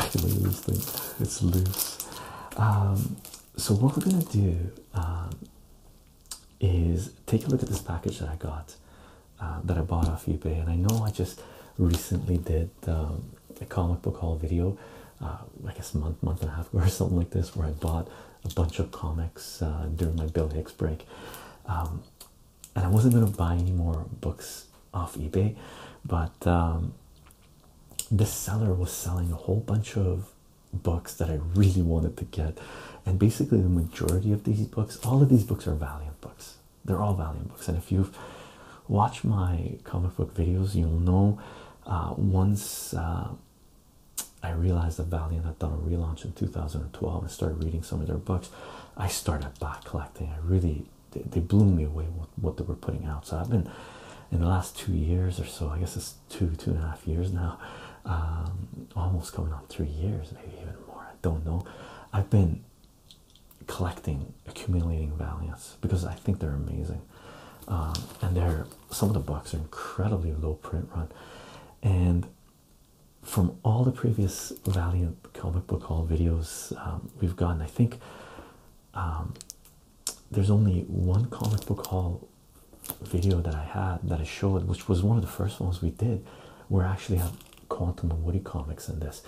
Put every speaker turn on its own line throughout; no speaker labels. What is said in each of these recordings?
I can it's loose. Um, so, what we're gonna do um, is take a look at this package that I got uh, that I bought off eBay, and I know I just recently did um, a comic book haul video, uh, I guess a month, month and a half ago or something like this, where I bought a bunch of comics uh, during my Bill Hicks break, um, and I wasn't gonna buy any more books off eBay, but um, this seller was selling a whole bunch of books that I really wanted to get, and basically the majority of these books, all of these books are Valiant books. They're all Valiant books, and if you've watched my comic book videos, you'll know uh, once uh, I realized the Valiant had done a relaunch in 2012 and started reading some of their books, I started back collecting. I really they, blew me away with what they were putting out. So I've been in the last two years or so, I guess it's two, two and a half years now, um, almost coming on three years, maybe even more. I don't know. I've been collecting, accumulating Valiants because I think they're amazing. Um, and they're some of the books are incredibly low print run. And from all the previous Valiant comic book haul videos um, we've gotten, I think um, there's only one comic book haul video that I had that I showed, which was one of the first ones we did, where actually have Quantum and Woody comics in this,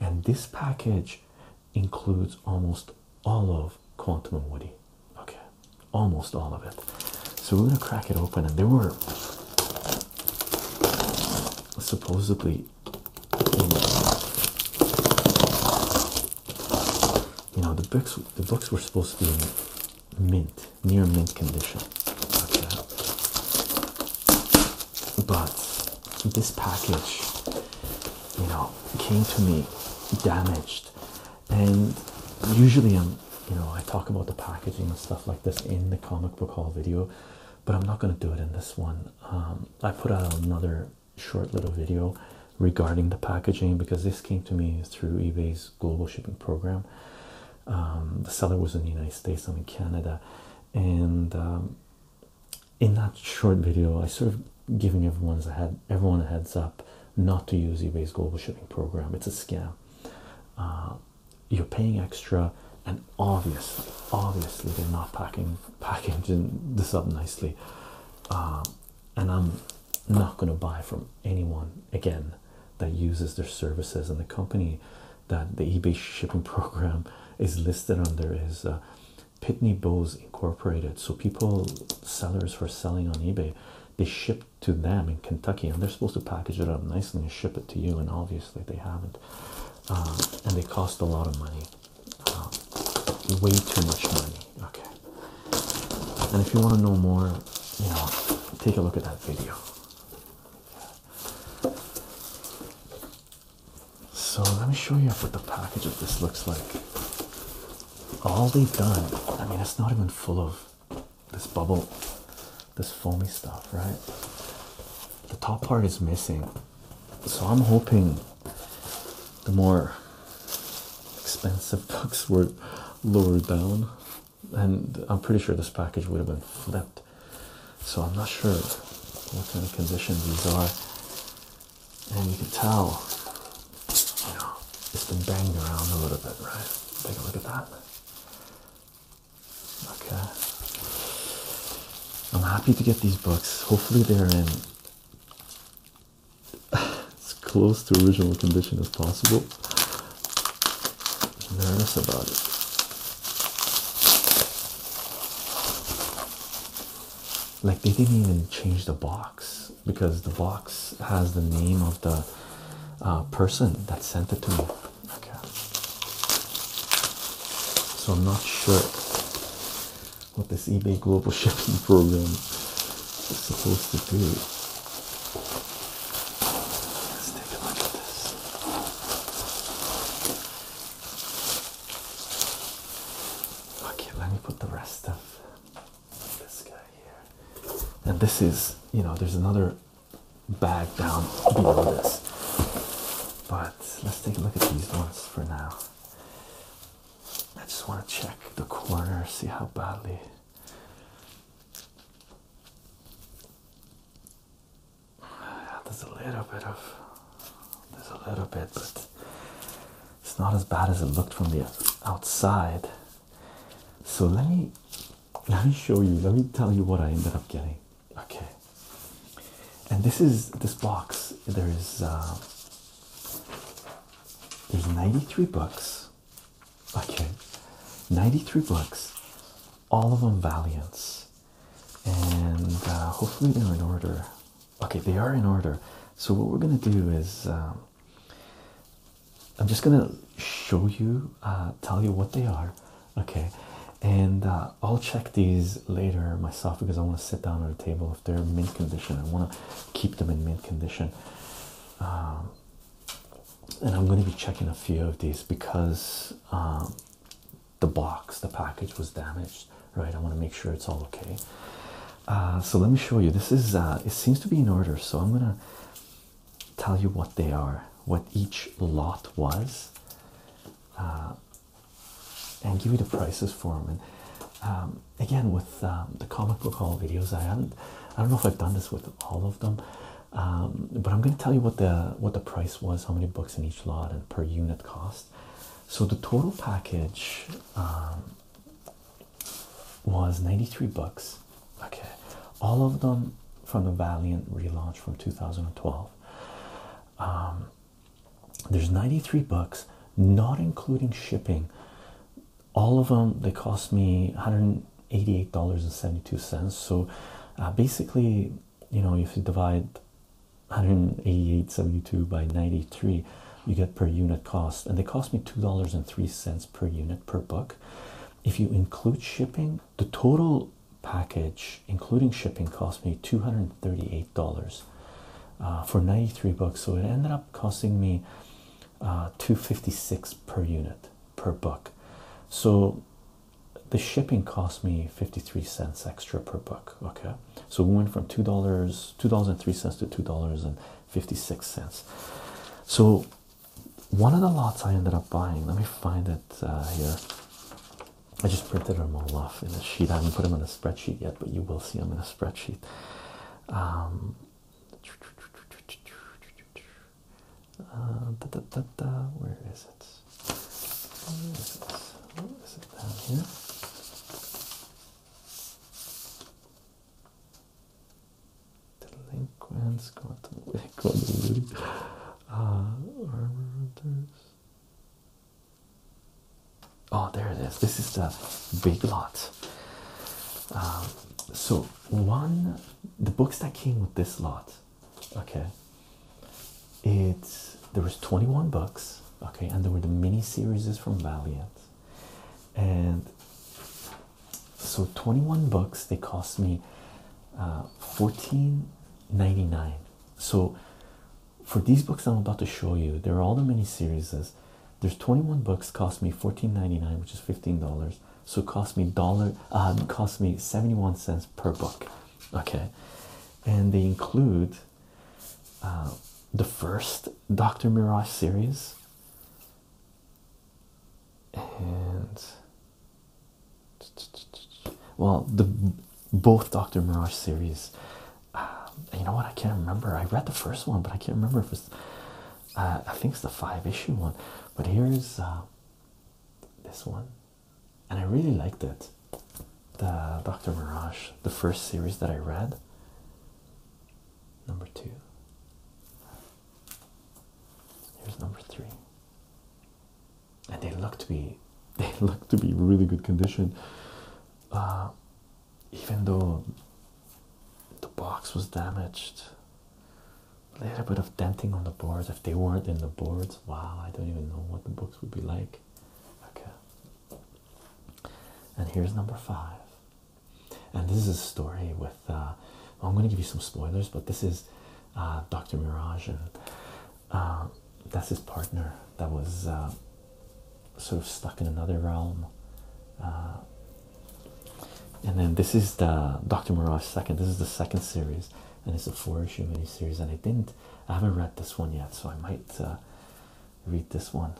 and this package includes almost all of Quantum and Woody. Okay, almost all of it. So we're gonna crack it open, and there were supposedly, you know, the books. The books were supposed to be mint, near mint condition but this package, you know, came to me damaged, and usually I'm, you know, I talk about the packaging and stuff like this in the comic book haul video, but I'm not going to do it in this one. Um, I put out another short little video regarding the packaging because this came to me through eBay's global shipping program. Um, the seller was in the United States, I'm in Canada, and um, in that short video, I sort of giving everyone's a head, everyone a heads up not to use eBay's global shipping program. It's a scam. Uh, you're paying extra, and obviously, obviously, they're not packing packaging this up nicely. Uh, and I'm not going to buy from anyone again that uses their services, and the company that the eBay shipping program is listed under is uh, Pitney Bowes Incorporated. So people, sellers who are selling on eBay, they ship to them in Kentucky, and they're supposed to package it up nicely and ship it to you. And obviously they haven't, uh, and they cost a lot of money, uh, way too much money. Okay. And if you want to know more, you know, take a look at that video. So let me show you what the package of this looks like. All they've done, I mean, it's not even full of this bubble, this foamy stuff, right? The top part is missing. So I'm hoping the more expensive books were lower down. And I'm pretty sure this package would have been flipped so I'm not sure what kind of condition these are. And you can tell, you know, it's been banged around a little bit, right? Take a look at that. Okay. I'm happy to get these books. Hopefully they're in as close to original condition as possible nervous about it. Like they didn't even change the box because the box has the name of the uh, person that sent it to me. Okay. So I'm not sure what this eBay global shipping program is supposed to do. Let's take a look at this. Okay, let me put the rest of this guy here. And this is, you know, there's another bag down below this. But let's take a look at these ones for now. I just want to check the corner, see how badly there's a little bit of there's a little bit, but it's not as bad as it looked from the outside. So let me let me show you, let me tell you what I ended up getting. Okay. And this is this box. There is uh, there's 93 books. Okay. 93 books. All of them Valiants and uh, hopefully they're in order. Okay, they are in order. So what we're gonna do is um, I'm just gonna show you, uh, tell you what they are. Okay, and uh, I'll check these later myself because I want to sit down at a table if they're mint condition. I want to keep them in mint condition. Um, and I'm going to be checking a few of these because um, the box, the package was damaged, right? I want to make sure it's all okay. Uh, so let me show you. This is uh, it seems to be in order, so I'm gonna tell you what they are, what each lot was, uh, and give you the prices for them. And um, again, with um, the comic book haul videos, I haven't. I don't know if I've done this with all of them. Um, but I'm going to tell you what the what the price was, how many books in each lot, and per unit cost. So the total package um, was 93 books. Okay, all of them from the Valiant relaunch from 2012. Um, there's 93 books, not including shipping. All of them they cost me 188 dollars and 72 cents. So uh, basically you know, if you divide 188.72 by 93, you get per unit cost, and they cost me two dollars and three cents per unit per book. If you include shipping, the total package, including shipping, cost me two hundred thirty-eight dollars uh, for 93 books. So it ended up costing me uh, 256 per unit per book. So the shipping cost me 53 cents extra per book. Okay, so we went from two dollars, two dollars and three cents to two dollars and 56 cents. So, one of the lots I ended up buying, let me find it uh, here. I just printed them all off in a sheet, I haven't put them in a spreadsheet yet, but you will see them in a spreadsheet. Um, uh, Where is it? Where is it? down here? Delinquents go to go to the uh, Oh, there it is. This is the big lot. Um, so one, the books that came with this lot okay it's there was 21 books. okay and there were the mini series from Valiant and so 21 books they cost me 14.99 uh, so for these books I'm about to show you they're all the mini series there's 21 books cost me 14.99 which is $15 so it cost me dollar uh cost me 71 cents per book okay and they include uh, the first dr mirage series and well the both dr mirage series uh, you know what i can't remember i read the first one but i can't remember if it's uh, i think it's the five issue one but here's uh, this one and I really liked it. The Dr. Mirage, the first series that I read, number two. Here's number three. And they look to be they look to be really good condition. Uh, even though the box was damaged a little bit of denting on the boards. If they weren't in the boards, wow, I don't even know what the books would be like. Okay. And here's number five. And this is a story with, uh, I'm going to give you some spoilers, but this is uh, Dr. Mirage, and uh, that's his partner that was sort of stuck in another realm. and then this is the Dr. Mirage second. This is the second series and it's a four issue miniseries. And I didn't, I haven't read this one yet, so I might uh, read this one.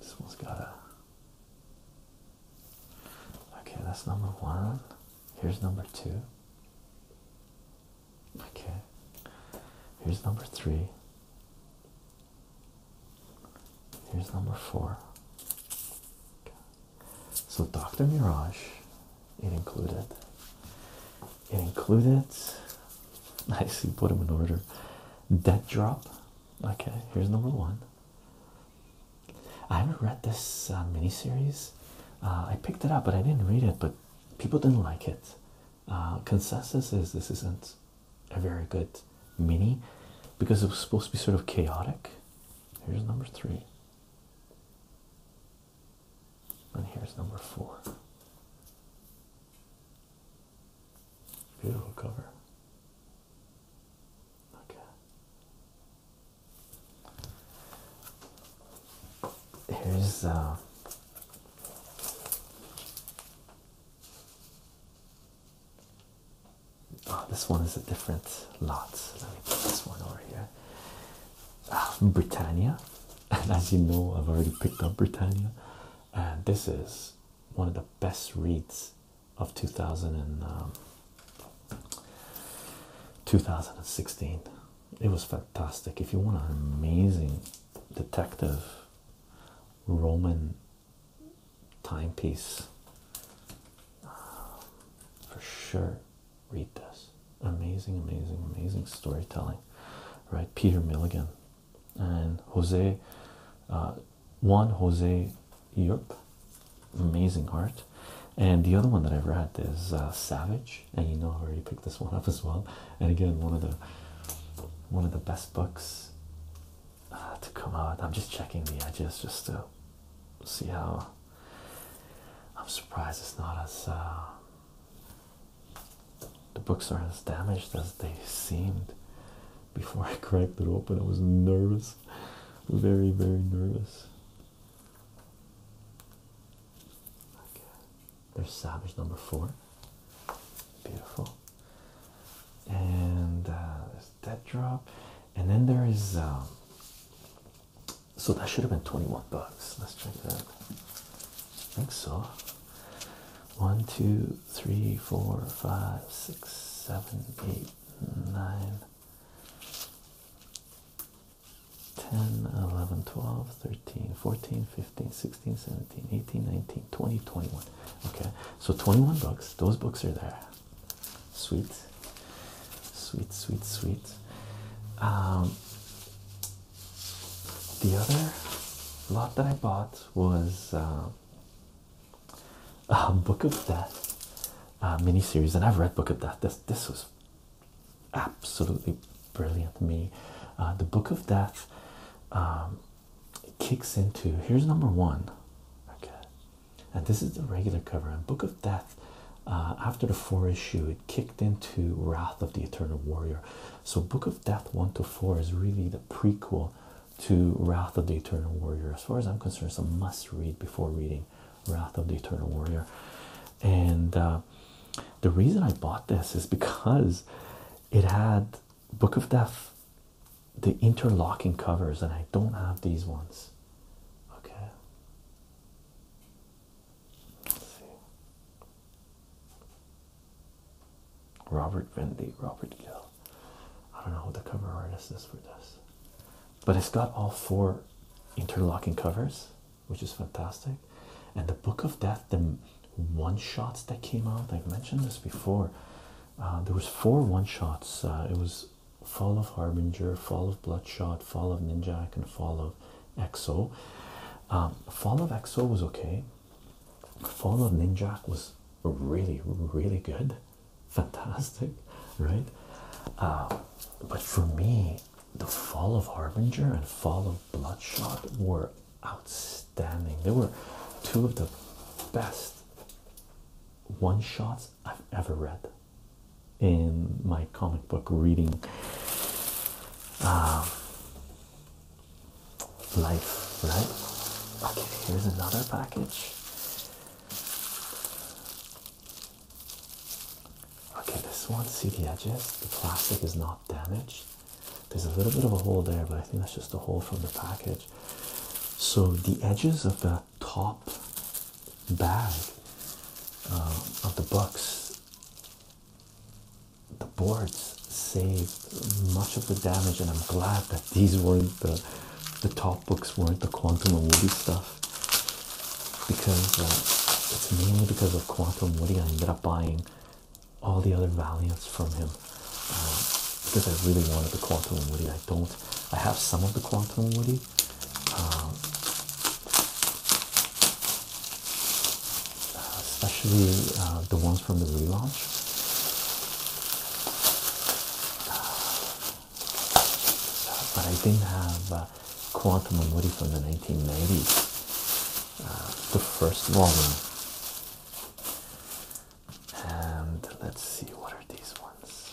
This one's got a. Okay, that's number one. Here's number two. Okay, here's number three. Here's number four. So Dr. Mirage, it included. It included Nicely put them in order. Dead drop. Okay, here's number one. I haven't read this uh, miniseries. Uh, I picked it up, but I didn't read it. But people didn't like it. Uh, consensus is this isn't a very good mini because it was supposed to be sort of chaotic Here's number three. And here's number four. Beautiful cover. Okay. Here's uh Ah, this one is a different lot. Let me put this one over here. Ah, Britannia, and as you know, I've already picked up Britannia, and this is one of the best reads of 2000 um, 2016. It was fantastic. If you want an amazing detective Roman timepiece um, for sure. Read this amazing, amazing, amazing storytelling, right? Peter Milligan and Jose, uh, one Jose Europe, amazing art. And the other one that I've read is uh, Savage, and you know I have already picked this one up as well. And again, one of the one of the best books uh, to come out. I'm just checking the edges just to see how. I'm surprised it's not as uh, the books aren't as damaged as they seemed before I cracked it open. I was nervous, very very nervous. There's Savage number four. Beautiful. And uh, that drop and then there is um, so that should have been 21 bucks let's check that I think so One, two, three, four, five, six, seven, eight, nine, ten, eleven, twelve, thirteen, fourteen, fifteen, sixteen, seventeen, eighteen, nineteen, twenty, twenty-one. okay so 21 bucks those books are there Sweet, sweet, sweet, sweet. Um, the other lot that I bought was um, a Book of Death uh, miniseries, and I've read Book of Death. This this was absolutely brilliant to me. Uh, the Book of Death um, kicks into here's number one. Okay, and this is the regular cover and book of death uh, after the four issue it kicked into wrath of the eternal warrior so book of death one to four is really the prequel to wrath of the eternal warrior as far as i'm concerned it's a must read before reading wrath of the eternal warrior and uh, the reason i bought this is because it had book of death the interlocking covers, and I don't have these ones. Okay. Let's see. Robert Vendy, Robert Gill. I don't know who the cover artist is for this, but it's got all four interlocking covers, which is fantastic. And the Book of Death, the one-shots that came out. i mentioned this before. Uh, there was four one-shots. Uh, it was Fall of Harbinger, Fall of Bloodshot, Fall of Ninjak, and Fall of Exo. Um, Fall of Exo was okay. Fall of Ninjak was really, really good, fantastic, right? Um, but for me, the Fall of Harbinger and Fall of Bloodshot were outstanding. They were two of the best one shots I've ever read in my comic book reading um, life, right? Okay, here's another package. Okay, this one, see the edges? The plastic is not damaged. There's a little bit of a hole there, but I think that's just a hole from the package. So the edges of the top bag uh, of the books, the boards saved much of the damage, and I'm glad that these weren't the the top books weren't the Quantum and Woody stuff because uh, it's mainly because of Quantum Woody I ended up buying all the other Valiants from him uh, because I really wanted the Quantum Woody. I don't I have some of the Quantum Woody. Um, especially uh, the ones from the relaunch. Uh, but I didn't have uh, Quantum and Woody from the 1990s. Uh, the first volume. And let's see what are these ones.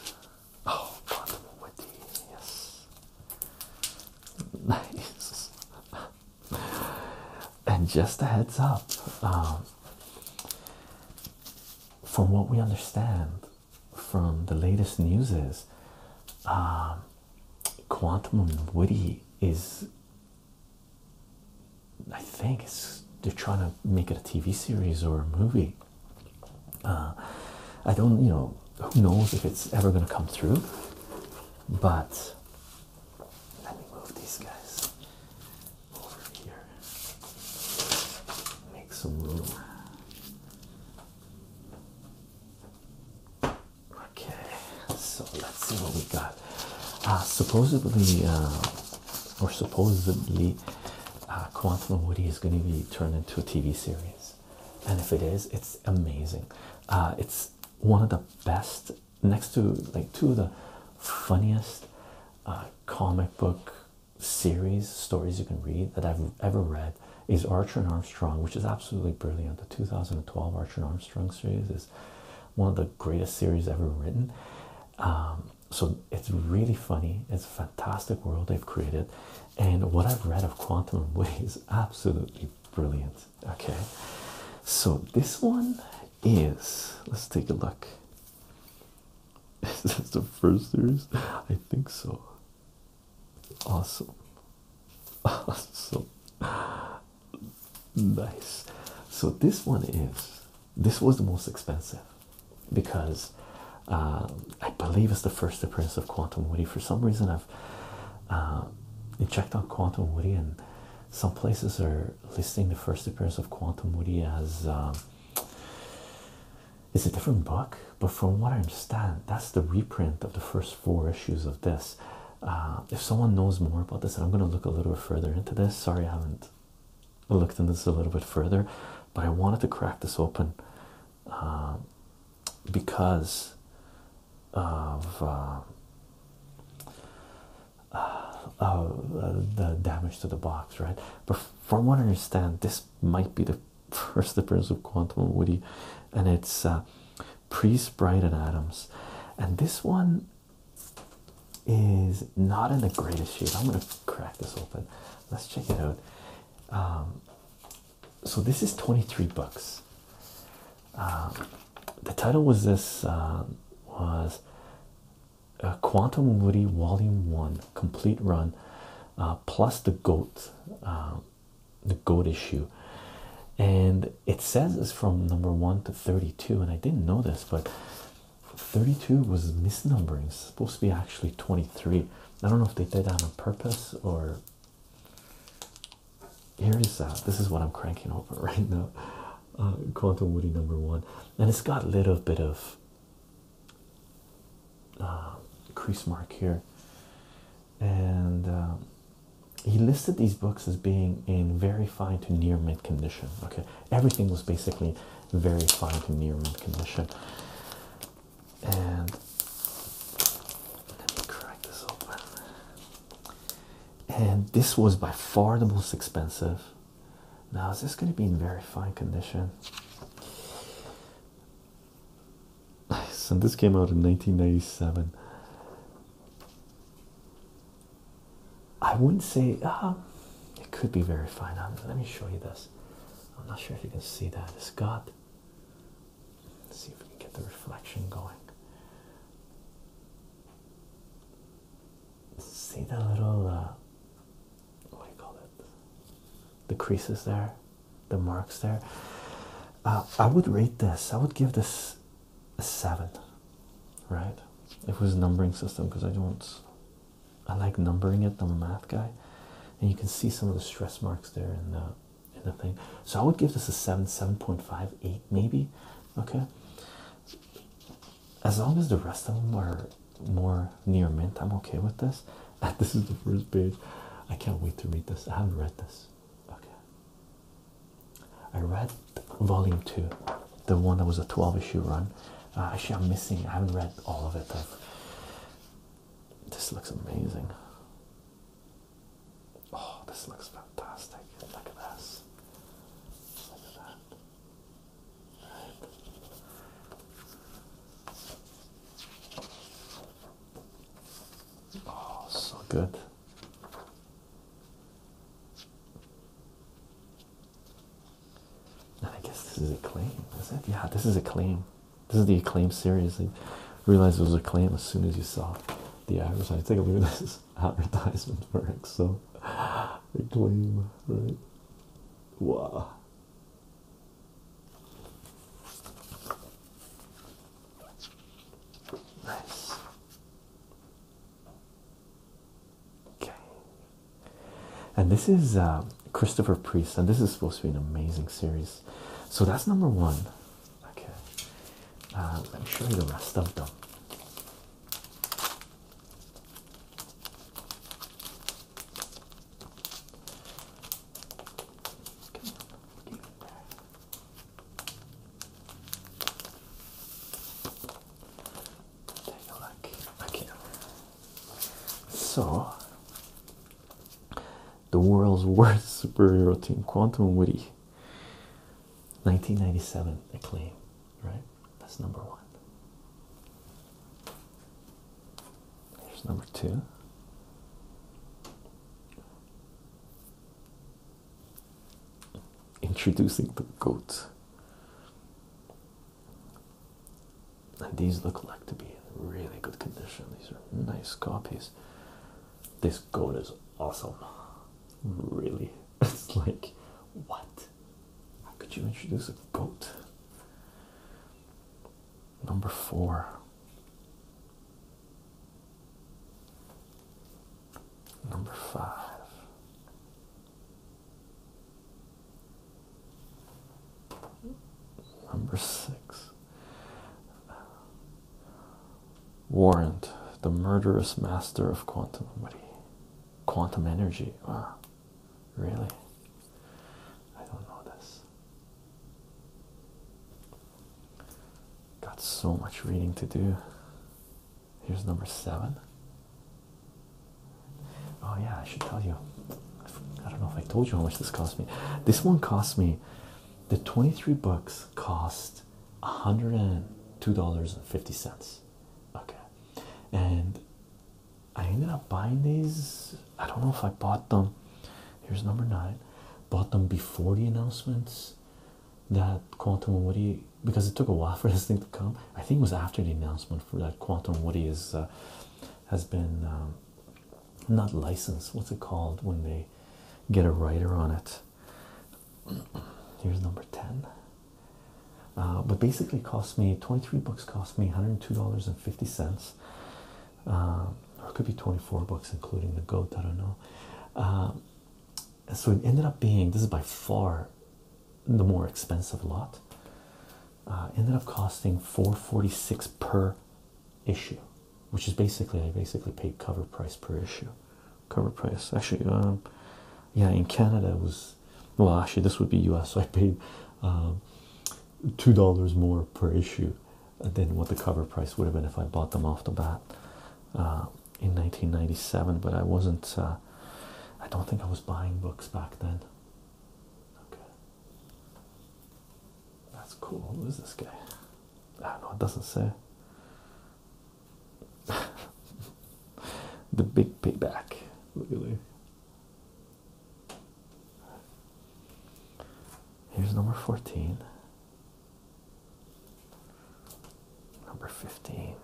Oh, Wonderful Wendy, yes. Nice. and just a heads up, um, from what we understand from the latest news is um, Quantum and Woody is I think it's they're trying to make it a TV series or a movie. Uh, I don't, you know, who knows if it's ever going to come through, but let me move these guys over here, make some room. Okay, so let's see what we got. Uh, supposedly, uh, or supposedly uh, Quantum and Woody is going to be turned into a TV series, and if it is, it's amazing. Uh, it's one of the best, next to like two of the funniest uh, comic book series stories you can read that I've ever read. Is Archer and Armstrong, which is absolutely brilliant. The 2012 Archer and Armstrong series is one of the greatest series ever written. Um, so it's really funny it's a fantastic world they've created and what i've read of quantum way is absolutely brilliant okay so this one is let's take a look is this the first series i think so awesome awesome nice so this one is this was the most expensive because uh, I believe it's the first appearance of Quantum Woody. For some reason, I've uh, checked on Quantum Woody, and some places are listing the first appearance of Quantum Woody as um, it's a different book. But from what I understand, that's the reprint of the first four issues of this. Uh, if someone knows more about this, I'm going to look a little further into this. Sorry, I haven't looked into this a little bit further, but I wanted to crack this open um, because of uh, uh, uh, the damage to the box, right? But from what I understand, this might be the first appearance of Quantum Woody, and it's uh, Priest, Bright, Adams. And this one, is not in the greatest shape. I'm going to crack this open. Let's check it out. Um, so this is 23 books. Um, the title was this um, was uh, Quantum Woody Volume One Complete Run, uh, plus the goat, the goat issue, and it says it's from number one to 32. And I didn't know this, but 32 was misnumbering, supposed to be actually 23. I don't know if they did that on purpose or here is that. Uh, this is what I'm cranking over right now. Uh, Quantum Woody number one, and it's got a little bit of uh, crease mark here, and um, he listed these books as being in very fine to near mint condition. Okay, everything was basically very fine to near mint condition. And let me crack this open. And this was by far the most expensive. Now, is this going to be in very fine condition? and this came out in 1997. I wouldn't say uh, it could be very fine. Um, let me show you this. I'm not sure if you can see that. It's got. see if we can get the reflection going. See that little uh, what do you call it? The creases there, the marks there. Uh, I would rate this. I would give this a seven, right? If it was a numbering system, because I don't I like numbering it. I'm a math guy, and you can see some of the stress marks there and the in the thing. So I would give this a seven, seven point five, eight, maybe. Okay. As long as the rest of them are more near mint, I'm okay with this. This is the first page. I can't wait to read this. I haven't read this. Okay. I read volume two, the one that was a 12 issue run, Ah, actually, I'm missing. I haven't read all of it. this looks amazing. Oh, this looks fantastic. Look at this. Look at that. Oh, so good. I guess this is a claim. I said, Yeah, this is a claim. This is the acclaim series. I realized it was a claim as soon as you saw the advertisement. Take a look at this advertisement for So acclaim, right? Wow. Nice. Okay. And this is uh, Christopher Priest, and this is supposed to be an amazing series. So that's number one. Okay. Uh, let me show you the rest of them. Take a look. Okay. So, the world's worst superhero team, Quantum Woody, 1997 acclaim, right? That's number one. Here's number two. Introducing the goat and these look like to be in really good condition. These are nice copies. This goat is awesome. Really, it's like, what? How could you introduce a goat? Number four. Number five. Number six. Warrant, the murderous master of quantum quantum energy. Really? I don't know this. Got so much reading to do. Here's number seven. Oh, yeah, I should tell you. I don't know if I told you how much this cost me. This one cost me the 23 books cost $102.50. Okay, and I ended up buying these. I don't know if I bought them. Here's number nine. Bought them before the announcements that Quantum What do you? because it took a while for this thing to come. I think it was after the announcement for that uh, Quantum Woody is uh, has been um, not licensed. What's it called when they get a writer on it? Here's number ten. Uh, but basically, cost me twenty-three books. Cost me one hundred two dollars and fifty cents. Um, or could be 24 books including the goat i don't know um, so it ended up being this is by far the more expensive lot uh, ended up costing 446 per issue which is basically i basically paid cover price per issue cover price actually um, yeah in canada it was well actually this would be us so i paid um, two dollars more per issue than what the cover price would have been if i bought them off the bat uh, in 1997 but i wasn't uh, i don't think i was buying books back then Okay. That's cool. Who's this guy? I ah, don't know, it doesn't say. the big payback. Look at Really. Here's number 14. Number 15.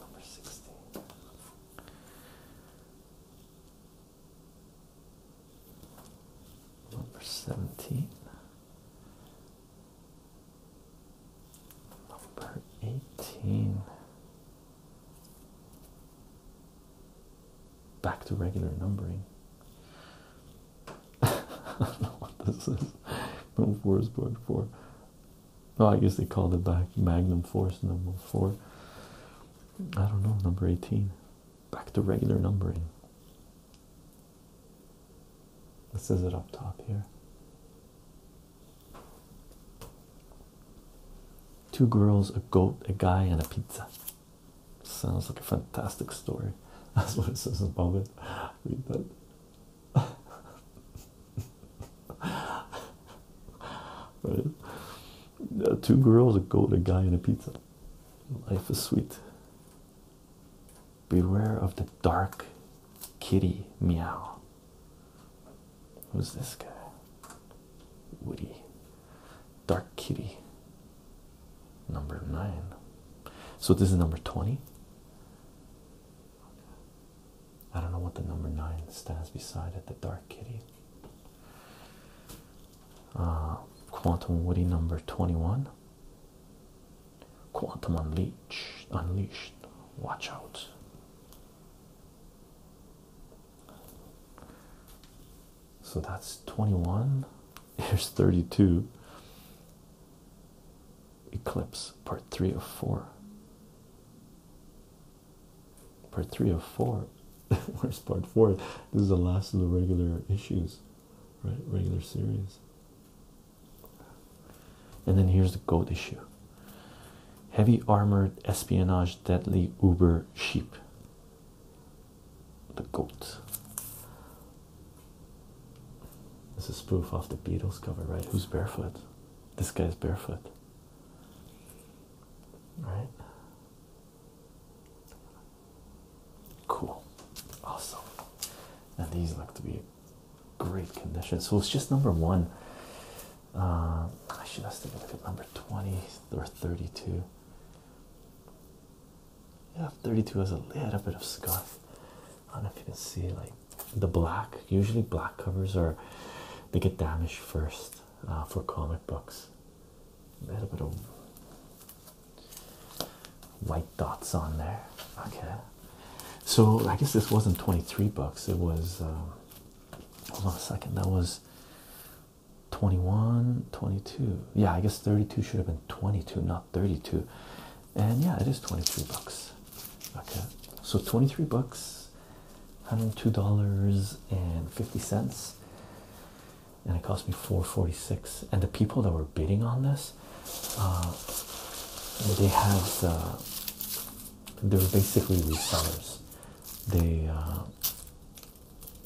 Number 16. Number 17. Number 18. Back to regular numbering. I don't know what this is. Move Wurzburg for. Oh, I guess they called it back Magnum Force number four. I don't know, number 18. Back to regular numbering. This is it up top here. Two girls, a goat, a guy, and a pizza. Sounds like a fantastic story. That's what it says above it. Read that. right? Uh, two girls, a goat, a guy, and a pizza. Life is sweet. Beware of the dark kitty meow. Who's this guy? Woody. Dark kitty. Number nine. So this is number 20. I don't know what the number nine stands beside at The Dark Kitty. Uh, Quantum Woody number 21. Quantum Unleashed. Unleashed. Watch out. So that's 21. Here's 32. Eclipse part three of four. Part three of four. Where's part four? This is the last of the regular issues, right? Regular series. And then here's the goat issue. Heavy armored espionage, deadly uber sheep. The goat. This is spoof off the Beatles cover, right? Who's barefoot? This guy's barefoot. Right? Cool. Awesome. And these look to be great condition. So it's just number one. Uh, I should have taken a look at number 20 or 32 yeah 32 has a little bit of scuff i don't know if you can see like the black usually black covers are they get damaged first uh, for comic books a little bit of white dots on there okay so i guess this wasn't 23 bucks it was um, hold on a second that was 21 22 yeah i guess 32 should have been 22 not 32 and yeah, it is 23 bucks. Okay, so 23 bucks, $102.50, and it cost me 446 And the people that were bidding on this, uh, they have they were basically resellers, they uh,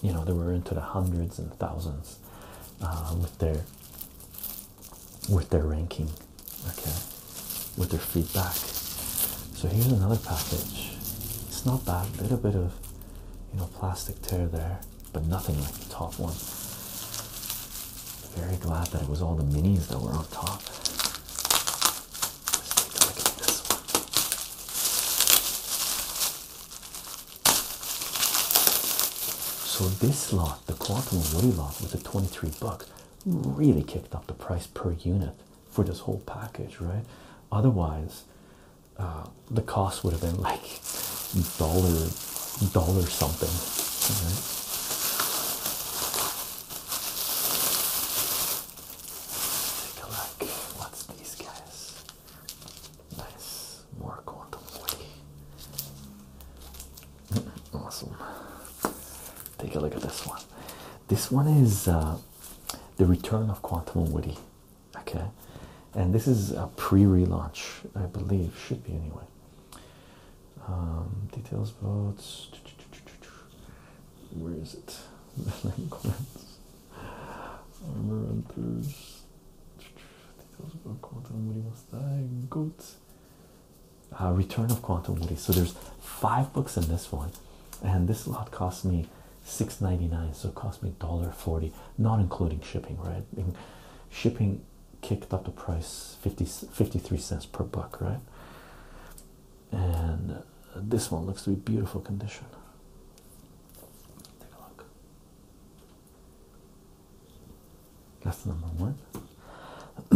you know, they were into the hundreds and thousands uh, with their with their ranking, okay, with their feedback. So here's another package. It's not bad, a little bit of you know plastic tear there, but nothing like the top one. Very glad that it was all the minis that were on top. Let's take a look at this one. So this lot, the Quantum of lot with the 23 bucks, really kicked up the price per unit for this whole package, right? Otherwise, uh, the cost would have been like dollar dollar something. Right? Take a look. What's these guys? Nice. More quantum way. awesome. Take a look at this one. This one is uh, the return of Quantum Woody. Okay, and this is a pre-relaunch, I believe, should be anyway. Um, details votes. Where is it? Armor hunters. Uh, Return of Quantum Woody. So there's five books in this one, and this lot cost me six ninety nine. So it cost me dollar forty, not including shipping. Right, shipping kicked up the price 50, 53 cents per book. Right, and uh, this one looks to be beautiful condition. Take a look. That's number one.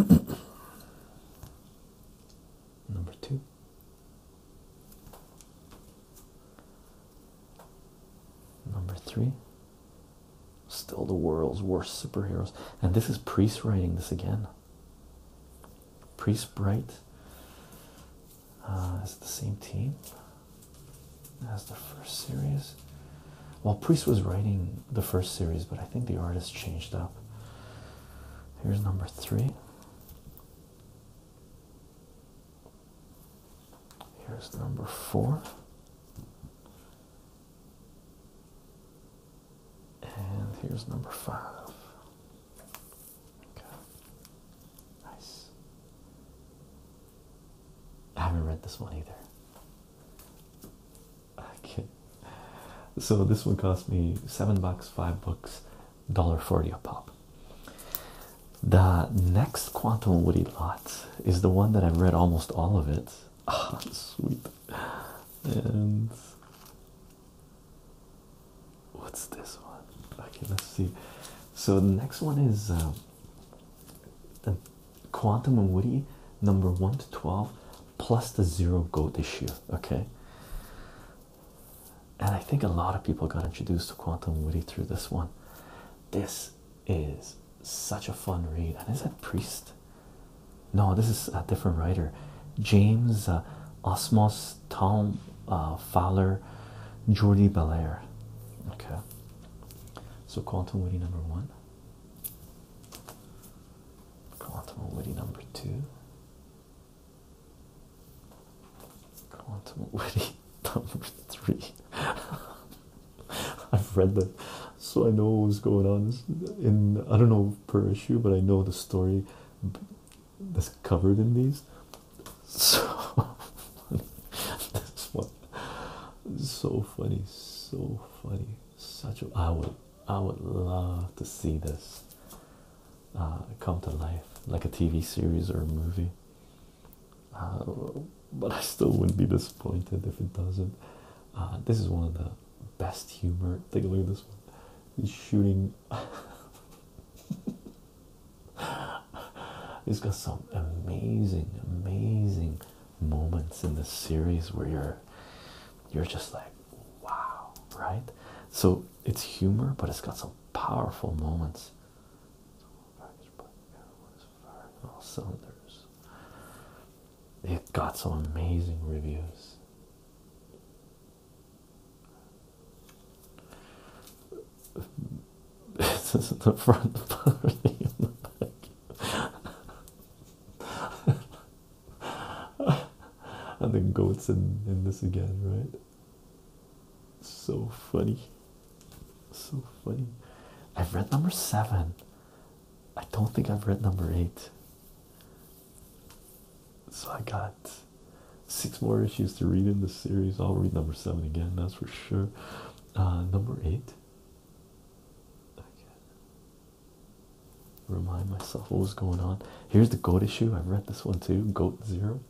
number two. Number three. Still the world's worst superheroes. And this is Priest writing this again. Priest Bright. Uh, is the same team? as the first series. Well, Priest was writing the first series, but I think the artist changed up. Here's number three. Here's number four. And here's number five. Okay. Nice. I haven't read this one either. Okay. So this one cost me seven bucks, five books, dollar forty a pop. The next Quantum Woody lot is the one that I've read almost all of it. Ah, sweet. And what's this one? Okay, let's see. So the next one is um, the Quantum and Woody number 1 to 12 plus the zero goat issue. Okay, and I think a lot of people got introduced to Quantum and Woody through this one. This is such a fun read, and is that Priest? No, this is a different writer, James uh, Osmos, Tom uh, Fowler, Jordi Belair. Okay, so quantum witty number one, quantum witty number two, quantum witty number three. I've read them, so I know what's going on in I don't know per issue, but I know the story that's covered in these. So that's what. so funny, so funny. Such a I would I would love to see this uh, come to life like a TV series or a movie. Uh, but I still wouldn't be disappointed if it doesn't. Uh, this is one of the best humor. Take a look at this one. He's shooting. He's got some amazing, amazing moments in this series where you're you're just like wow, right? So it's humor, but it's got some powerful moments. All cylinders. It got some amazing reviews this is the front part in the back. and the goats in, in this again, right? So funny. So funny. I've read number seven. I don't think I've read number eight. So I got six more issues to read in this series. I'll read number seven again, that's for sure. Uh, number eight Remind myself what was going on. Here's the goat issue. I've read this one too. Goat Zero.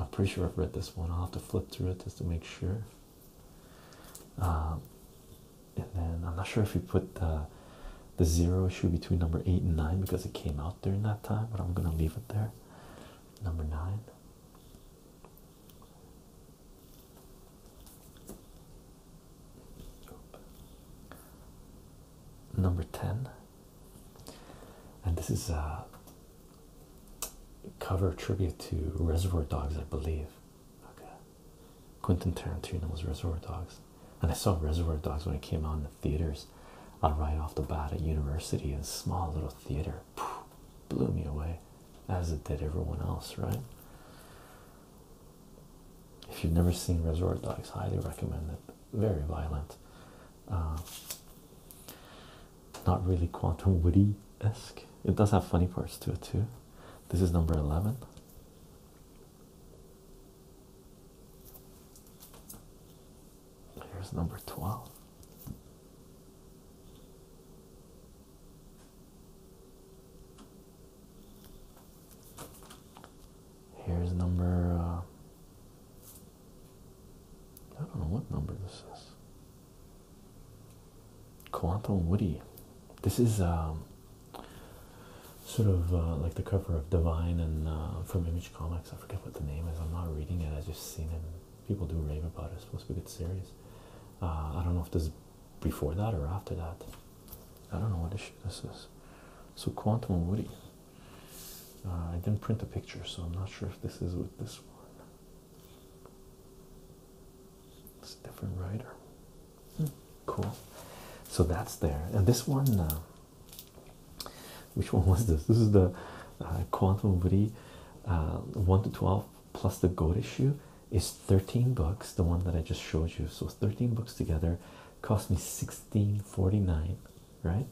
I'm pretty sure I've read this one. I'll have to flip through it just to make sure. Um, and then I'm not sure if you put the zero issue between number eight and nine because it came out during that time, but I'm gonna leave it there. Number nine. Number 10, and this is a cover tribute to Reservoir Dogs, I believe. Okay, Quentin Tarantino was Reservoir Dogs, and I saw Reservoir Dogs when it came out in the theaters uh, right off the bat at university in a small little theater blew me away as it did everyone else, right? If you've never seen *Resort Dogs, highly recommend it. Very violent. Uh, not really quantum woody esque. It does have funny parts to it too. This is number eleven. Here's number twelve. Here's number, uh, I don't know what number this is. Quantum Woody. This is um, sort of uh, like the cover of Divine and uh, from Image Comics. I forget what the name is. I'm not reading it. I just seen it. People do rave about it. It's supposed to be a good series. Uh, I don't know if this is before that or after that. I don't know what issue this is. So Quantum and Woody. Uh, I didn't print a picture, so I'm not sure if this is with this one. It's a different writer. Hmm, cool. So that's there. And this one, uh, which one was this? This is the Quantum Woody 1 to 12 plus the goat issue is 13 books, the one that I just showed you. So 13 books together cost me 16.49, right?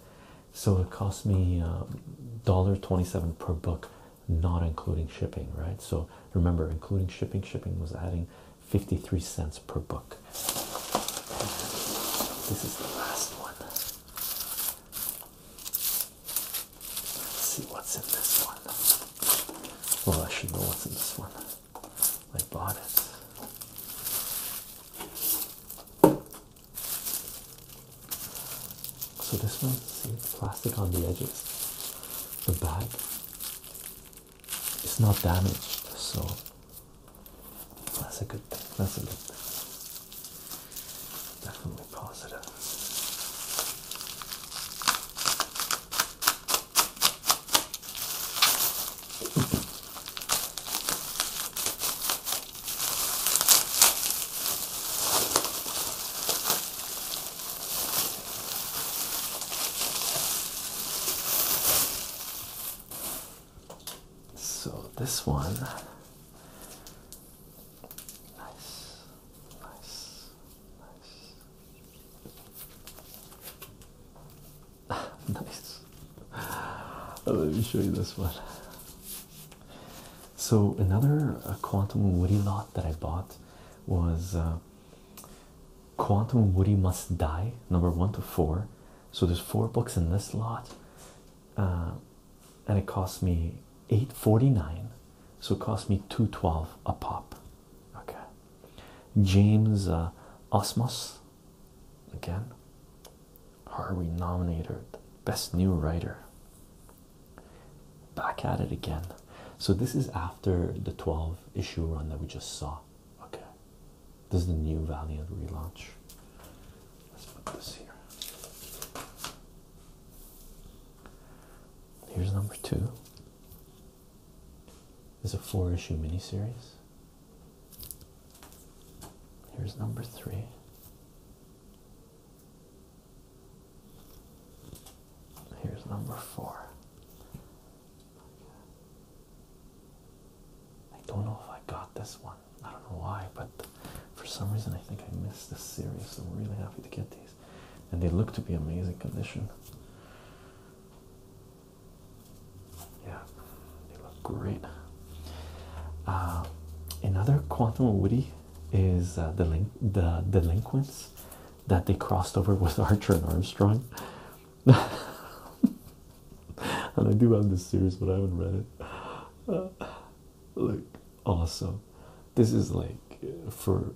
So it cost me um, dollar um, 27 per book, not including shipping, right? So remember, including shipping, shipping was adding 53 cents per book. This is the last one. Let's see what's in this one. Well, I should know what's in this one. I bought it. So this one, see, plastic on the edges. The bag is not damaged, so that's a good thing. That's a good thing. Definitely positive. So this one Nice, nice, nice. nice. Let me show you this one. So another uh, quantum woody lot that I bought was uh, Quantum Woody Must Die, number one to four. So there's four books in this lot. Uh, and it cost me 849 so it cost me 212 a pop okay james uh, osmos again Are we nominated best new writer back at it again so this is after the 12 issue run that we just saw okay this is the new valiant relaunch let's put this here Here's number two. It's a four issue miniseries. Here's number three. Here's number four. I don't know if I got this one. I don't know why, but for some reason, I think I missed this series, so I'm really happy to get these. And they look to be amazing condition. Yeah, they look great. Uh, another Quantum Woody is the uh, link the delinquents that they crossed over with Archer and Armstrong. and I do have this series, but I haven't read it. Uh, like also, This is like for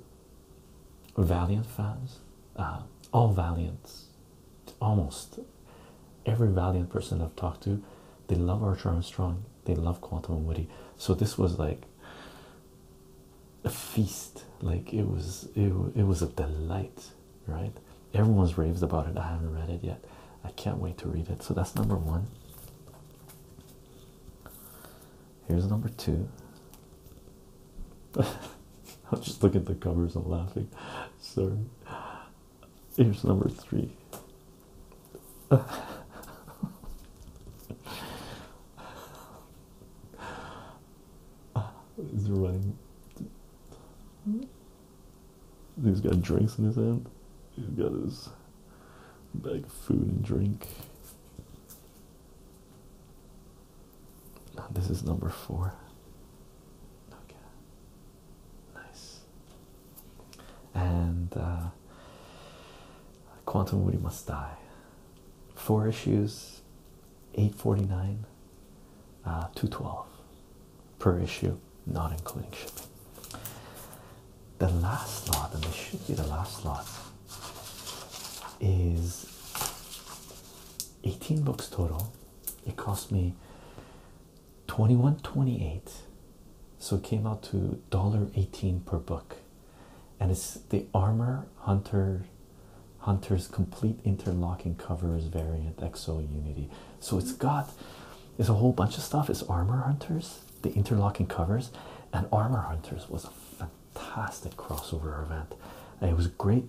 Valiant fans, uh, all Valiants, almost every Valiant person I've talked to, they love Archer and Strong. they love Quantum and Woody. So this was like a feast. Like it was, it, it was a delight, right? Everyone's raved about it. I haven't read it yet. I can't wait to read it. So that's number one. Here's number two. I'll just look at the covers and laughing. Sorry. Here's number three. He's running. He's got drinks in his hand. He's got his Bag of food and drink. This is number four. Okay. Nice. And uh, Quantum Woody Must Die. Four issues, 849, uh, 212 per issue, not including shipping the last lot, and this should be the last lot, is 18 books total. It cost me 21.28, so it came out to $1.18 per book. And it's the Armor Hunter Hunter's complete interlocking covers variant XO Unity. So it's got it's a whole bunch of stuff. It's Armor Hunters the interlocking covers, and Armor Hunters was a fantastic crossover event. It was a great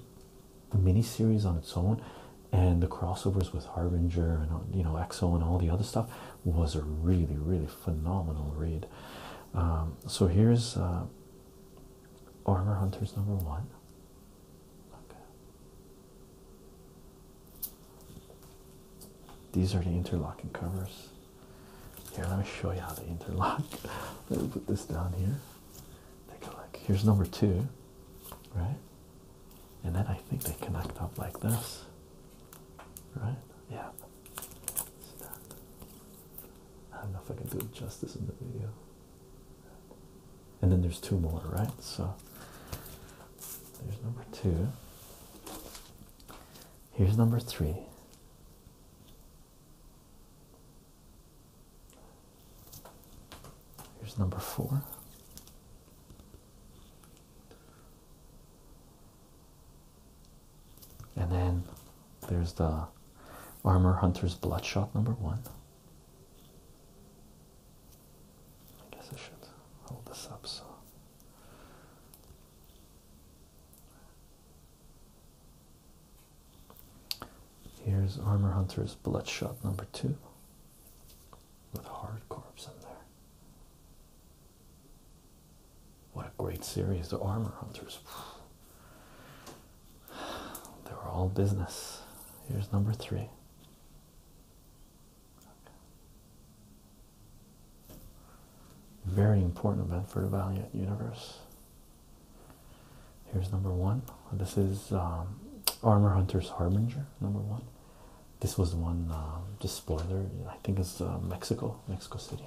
mini series on its own, and the crossovers with Harbinger and you know Exo and all the other stuff was a really, really phenomenal read. Um, so here's uh, Armor Hunters number one. These are the interlocking covers. Here, let me show you how they interlock. let me put this down here. Take a look. Here's number two, right? And then I think they connect up like this, right? Yeah. I don't know if I can do justice in the video. And then there's two more, right? So there's number two. Here's number three. Here's number four. And then there's the Armor Hunter's Bloodshot number one. I guess I should hold this up so Here's Armor Hunter's Bloodshot number two with Hard Corps in there. What a great series, the Armor Hunters. They were all business. Here's number three. Very important event for the Valiant universe. Here's number one. This is um, Armor Hunter's Harbinger, number one. This was the one, uh, just spoiler, I think it's uh, Mexico, Mexico City.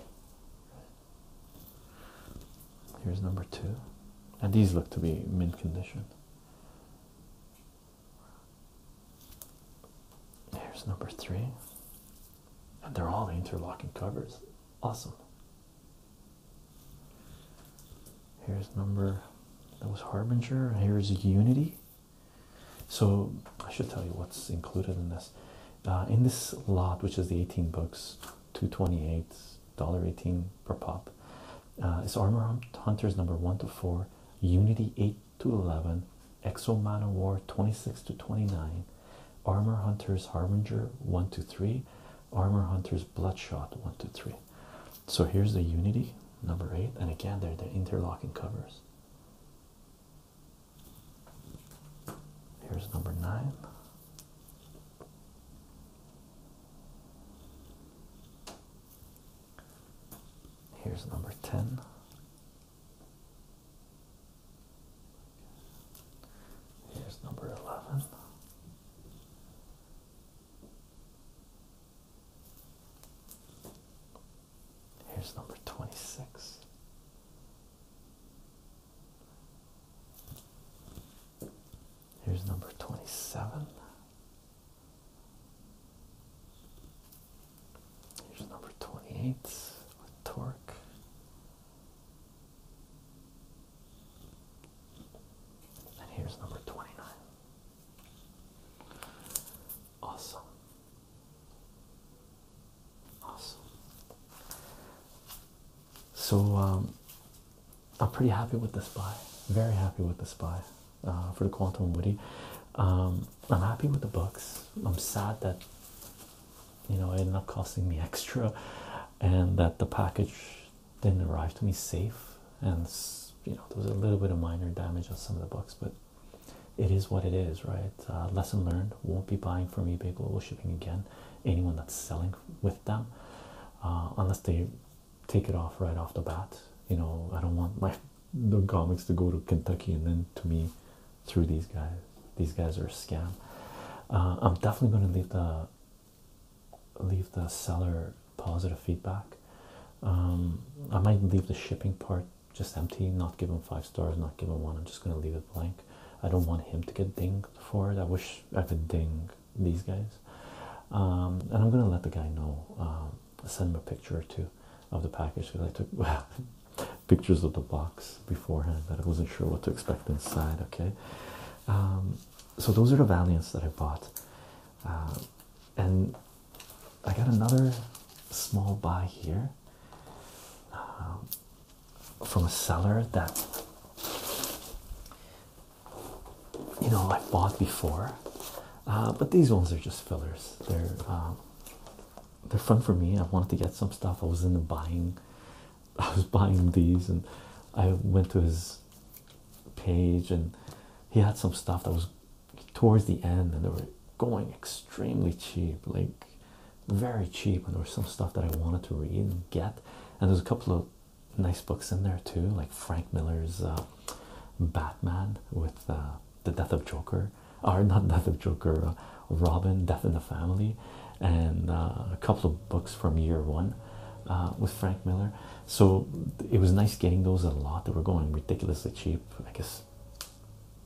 Here's number two. And these look to be mint condition. Here's number three. And they're all interlocking covers. Awesome. Here's number that was Harbinger. Here's Unity. So I should tell you what's included in this. Uh, in this lot, which is the 18 books, two twenty-eights, 228 $1.18 per pop. Uh, it's Armor Hunters number 1 to 4, Unity 8 to 11, Exo Man War 26 to 29, Armor Hunters Harbinger 1 to 3, Armor Hunters Bloodshot 1 to 3. So here's the Unity number 8, and again, they're the interlocking covers. Here's number 9. Here's number 10. Here's number 11. Here's number 26. Here's number 27. Here's number 28 with torque. And here's number 29. Awesome. Awesome. So um, I'm pretty happy with this buy. Very happy with this buy uh, for the Quantum Woody. Um, I'm happy with the books. I'm sad that you know it ended up costing me extra and that the package didn't arrive to me safe and you know there was a little bit of minor damage on some of the books but it is what it is right uh, lesson learned won't be buying from ebay global shipping again anyone that's selling with them uh, unless they take it off right off the bat you know i don't want my the comics to go to Kentucky and then to me through these guys. These guys are a scam. Uh, I'm definitely going to leave the leave the seller positive feedback. Um, I might leave the shipping part just empty, not give him five stars, not give him one. I'm just going to leave it blank. I don't want him to get dinged for it. I wish I could ding these guys. Um, and I'm going to let the guy know um, send him a picture or two of the package because I took well, pictures of the box beforehand that I wasn't sure what to expect inside. Okay, um, so those are the Valiants that I bought, uh, and I got another small buy here um, from a seller that you know I bought before, uh, but these ones are just fillers. They're um, they're fun for me. I wanted to get some stuff. I was in the buying, I was buying these, and I went to his page, and he had some stuff that was towards the end, and they were going extremely cheap, like very cheap. And there was some stuff that I wanted to read and get, and there's a couple of nice books in there too, like Frank Miller's uh, Batman with uh, the death of Joker, or not death of Joker, uh, Robin, Death in the Family, and uh, a couple of books from year one uh, with Frank Miller. So it was nice getting those a lot. They were going ridiculously cheap. I guess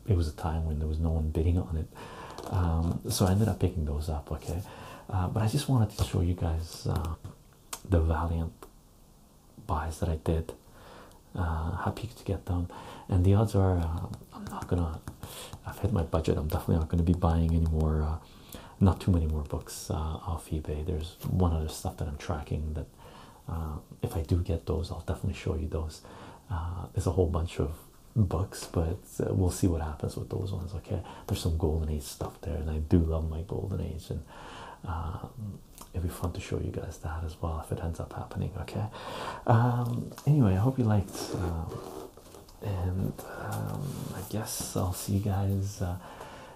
it was a time when there was no one bidding on it. Um, so I ended up picking those up. Okay, but I just wanted to show you guys the Valiant buys that I did. Uh, happy to get them, and the odds are uh, I'm not gonna. I've hit my budget. I'm definitely not gonna be buying any more. Uh, not too many more books off eBay. There's one other stuff that I'm tracking that if I do get those, I'll definitely show you those. there's a whole bunch of books, but we'll see what happens with those ones. Okay, there's some golden age stuff there, and I do love my golden age and. Um, it'll be fun to show you guys that as well if it ends up happening okay um anyway i hope you liked um, and um, i guess i'll see you guys uh,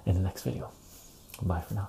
in the next video bye for now